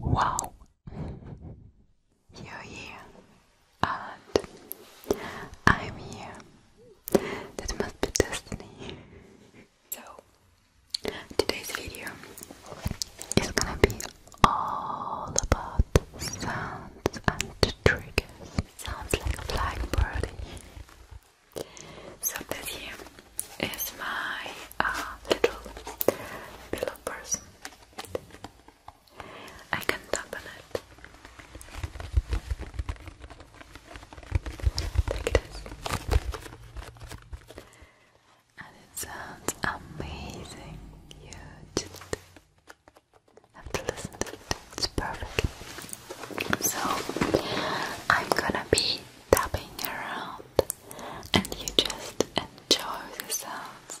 Wow, you're here, and I'm here. That must be destiny. so, today's video is gonna be all about sounds and triggers. Sounds like a blackbird. So this here is my uh, little pillow person. I can tap on it. Like this and it sounds amazing. You just have to listen to it, it's perfect. So, I'm gonna be tapping around, and you just enjoy the sounds.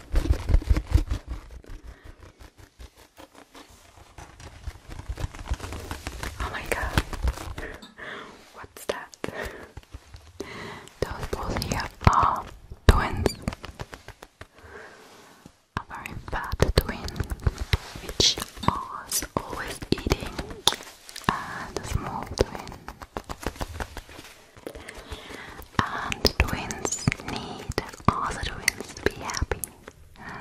Oh my god. What's that? Those both here are twins. A very fat twin, which was always eating, and a small twin. And twins need all the twins to be happy.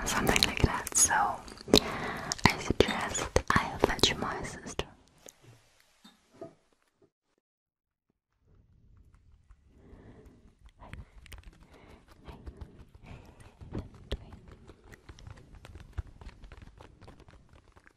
Something like that. So I suggest I fetch my sister.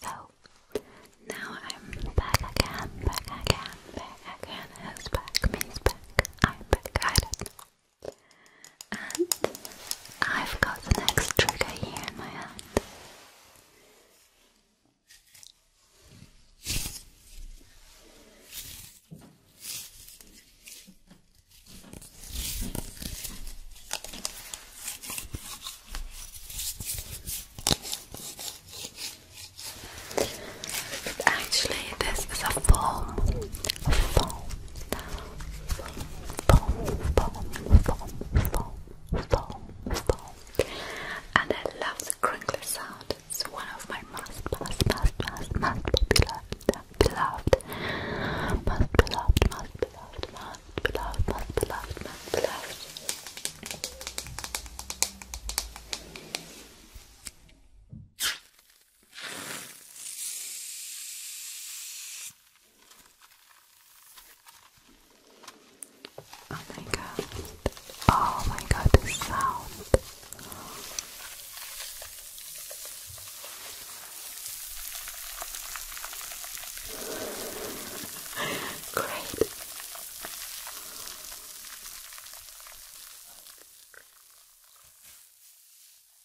So now I'm back again, back again, back again. Who's back? Me's back. I'm back. I and I've got the next trigger here in my hand. Actually, this is a foam, foam, and I love the crinkly sound. It's one of my most, most, most, most, most beloved, beloved, most beloved, most beloved, most beloved, most beloved, most beloved. Oh my god. Oh my god, the sound. Great.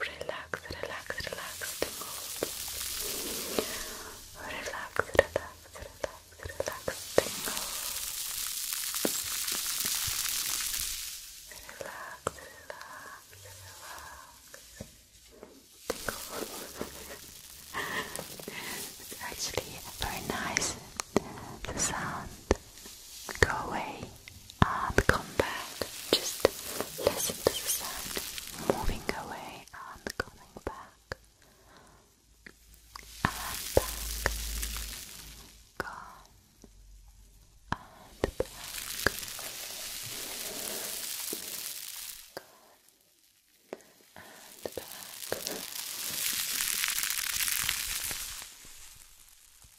Relax, relax, relax the Relax, relax, relax, relax the mood. Relax, relax, relax. it's actually very nice the sound. Go away and uh, come back. Just listen to the sound moving away and coming back. And back. Gone. And back. Gone. And back.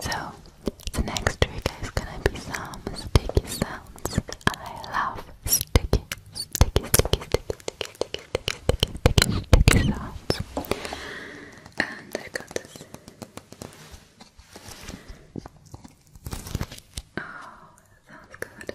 so, the next trigger is gonna be some sticky sounds. I love sticky, sticky, sticky, sticky, sticky, sticky, sticky, sticky, sticky, sounds. And I got Oh, sounds good.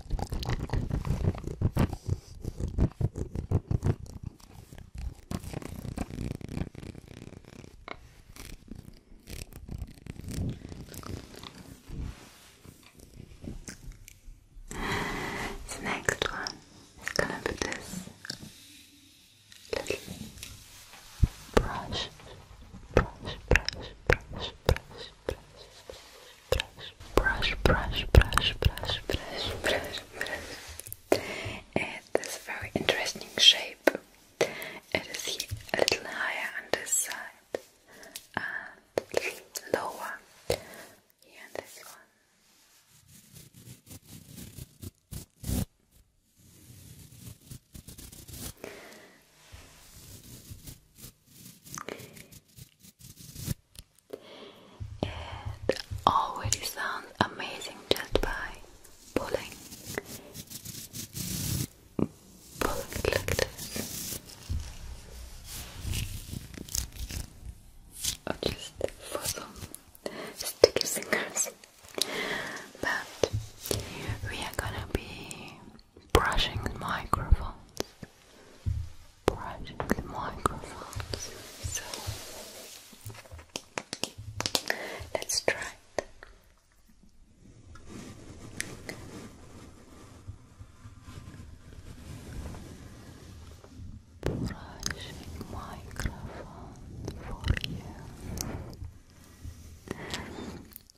The next one is gonna be this little brush, brush, brush, brush, brush brush, brush, brush, brush, brush, brush, brush. It is a very interesting shape. It is a little higher on this side and lower here on this one. It already sounds amazing just by pulling, pulling it like this, or just for some sticky fingers. But we are gonna be brushing microphones, brushing microphones. So let's try it. Brushing microphone for you.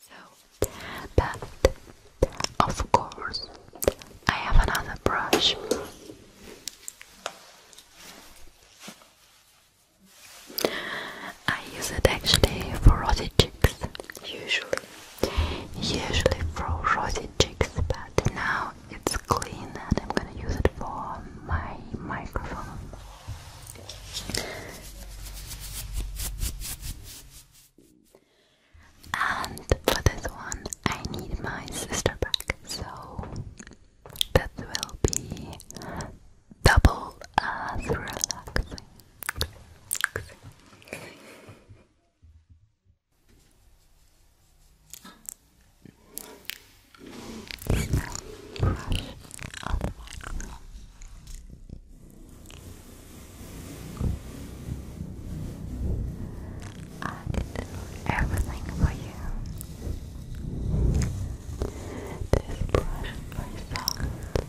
So, but of course, I have another brush. I use it actually for rosy cheeks, usually. Usually for rosy cheeks, but now it's clean and I'm gonna use it for my microphone. And for this one, I need my sister back, so that will be double as relaxing. I did everything for you. This brush for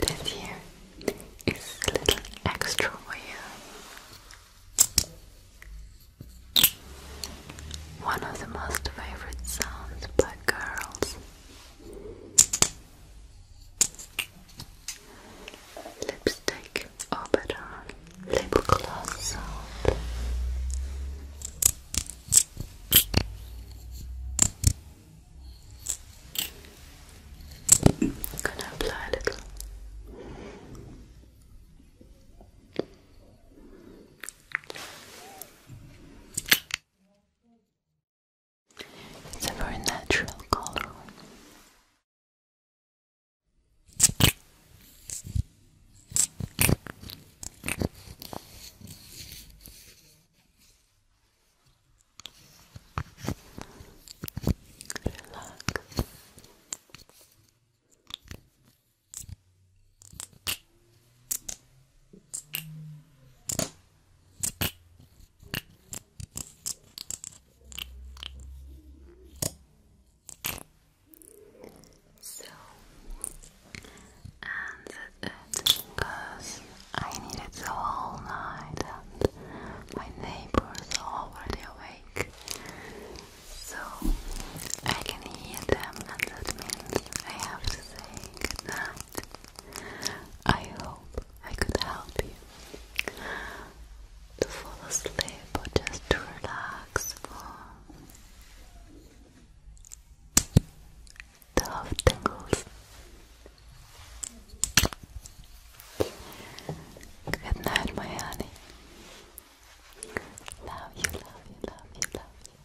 This here is a little extra for you. One of the most favorite sounds by girls lipstick or better lip gloss I'm gonna apply a little. It's a very natural color. Relax. So, and because I needed the whole night and my neighbors are already awake. So, I can hear them, and that means I have to say goodnight. I hope I could help you to fall asleep or just to relax for the half tingles. Good night, my honey. Love you, love you, love you, love you.